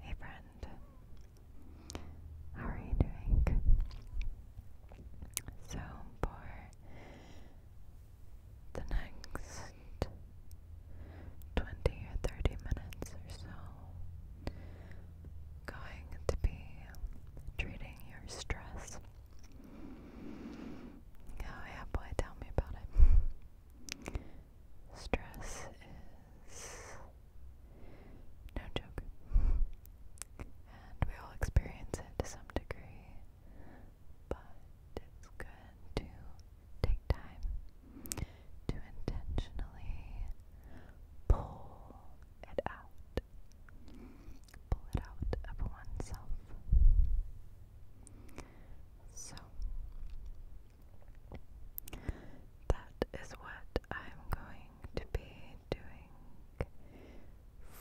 Hey friend, how are you doing? So, for the next 20 or 30 minutes or so, going to be treating your stress. Oh, yeah, boy, tell me about it. Stress is no joke. And we all experience it to some degree, but it's good to take time to intentionally pull it out. Pull it out of oneself. So, that is what I'm going to be doing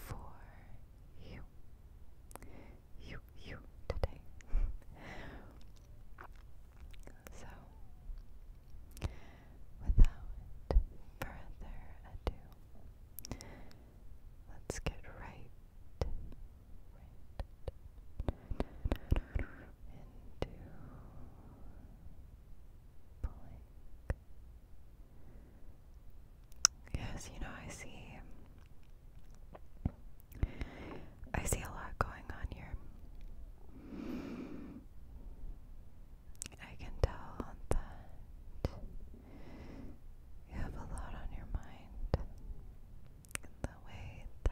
for you. You, you, today. so, without further ado, let's get right Yes, you know, I see. I see a lot going on here. I can tell that you have a lot on your mind in the way that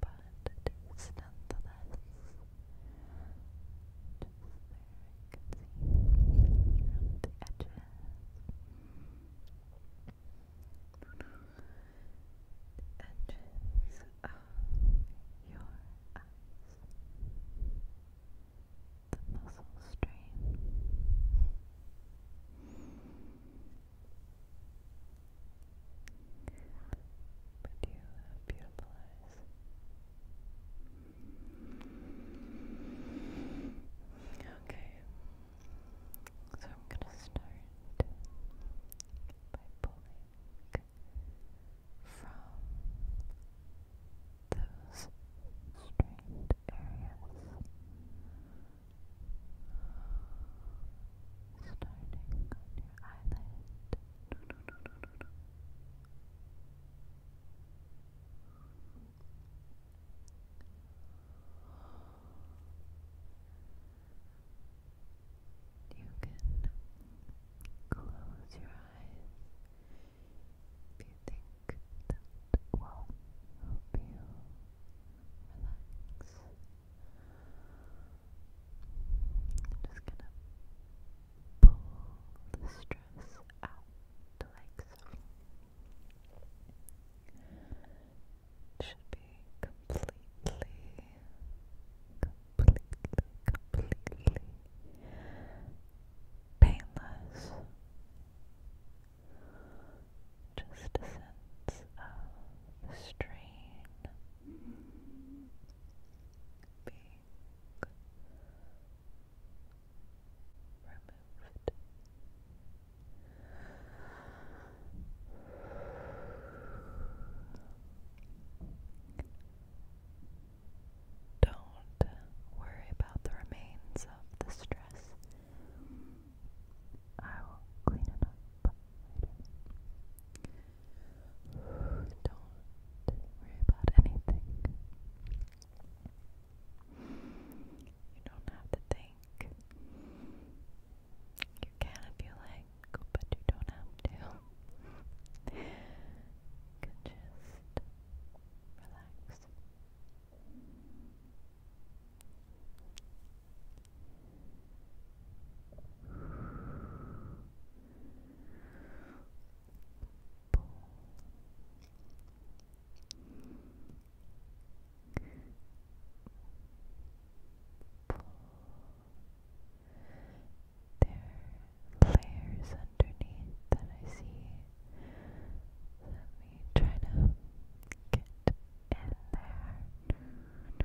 but it is nonetheless just there you can see the edges the edges of your eyes the muscle strain but you have beautiful eyes. Okay. So I'm going to start by pulling from those strained areas. Starting on your eyelid, no, You can close your eyes if you think that you relax just gonna pull the stress out like should be completely, completely, completely painless. Just a sense of strain being removed. Don't worry about the remains of the stress. I will clean it up later. Don't worry about anything. You don't have to think. You can if you like, but you don't have to. You can just relax. There are layers underneath that I see. Let me try to get in there.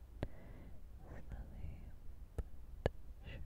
Slowly but surely. Good.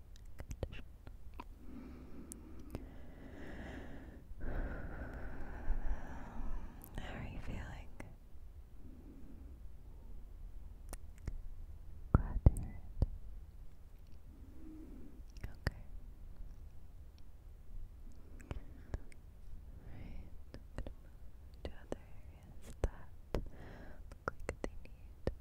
How are you feeling? Glad to hear it. Okay. Alright, I'm other areas that look like they need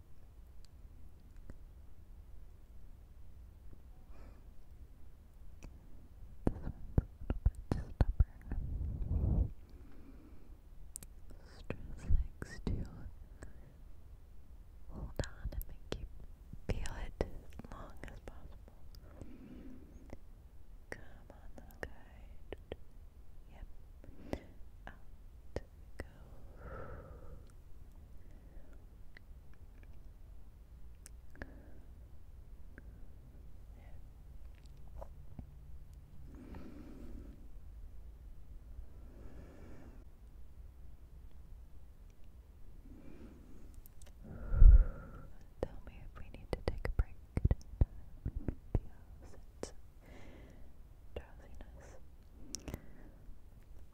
stubborn. Stress likes to hold on and make you feel it as long as possible. Come on, little Yep. Out Tell me if we need to take a break. It would be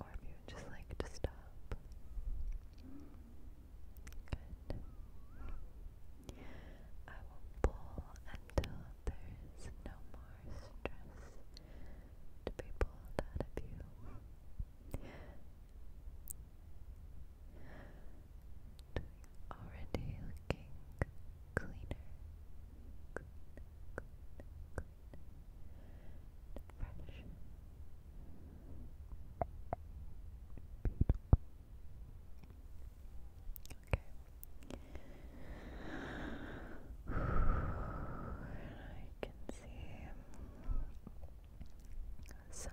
or if you just like to stop. Good. I will pull until there is no more stress to be pulled out of you. Already looking cleaner, and fresh. Okay. I can see some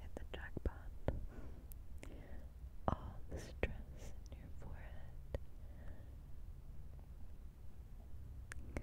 Hit the jackpot. All the stress in your forehead. Good.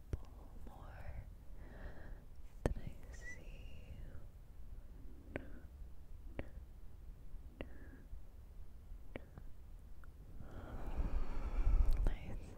couple more that I see. Nice. Good job.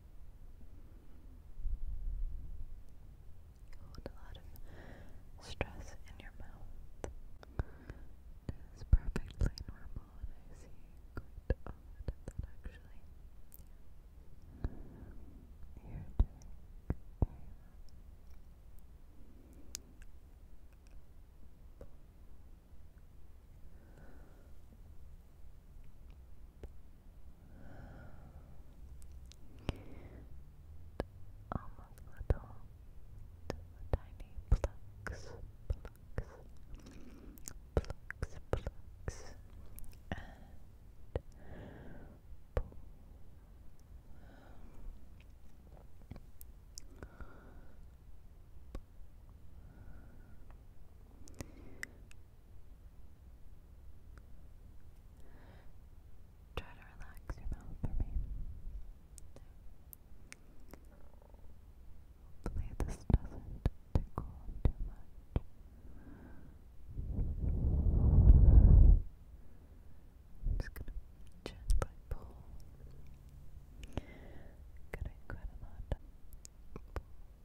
Hold a lot of stress in your mouth. It is perfectly normal, and I see quite often that actually. you almost little, little tiny plucks, plucks, plucks, plucks, and pull. Try to relax your mouth for me. Hopefully, this doesn't tickle too much. just gonna gently pull. Getting quite a lot cheeks. Good.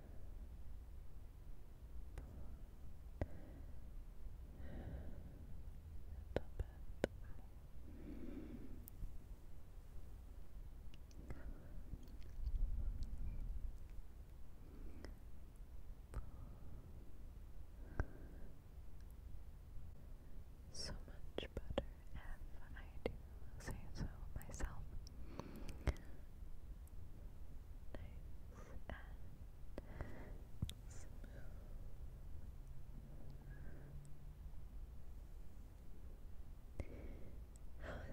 So much better if I do say so myself. How is that? Do you less stress? Lovely.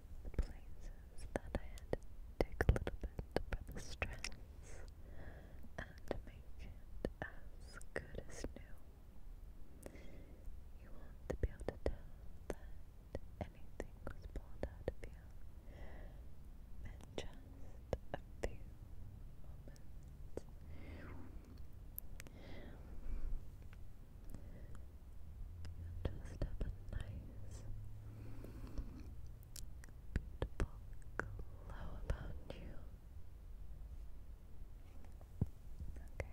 places that I had to take a little bit for the stress and make as good as new. You want to be able to tell that anything was pulled out of you in just a few moments. just a nice beautiful glow about you. Okay.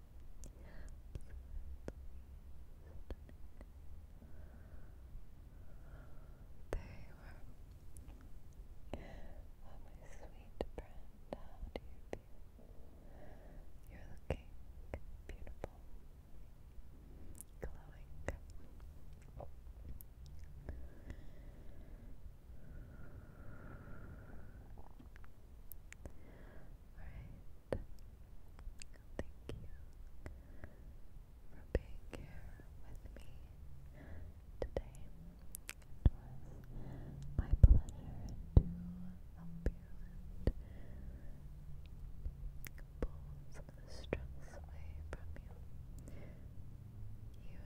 There you are. my sweet friend, You're looking beautiful, glowing. Alright. Thank you for being here with me today. It was my pleasure to help you and pull some of the stress away from you. You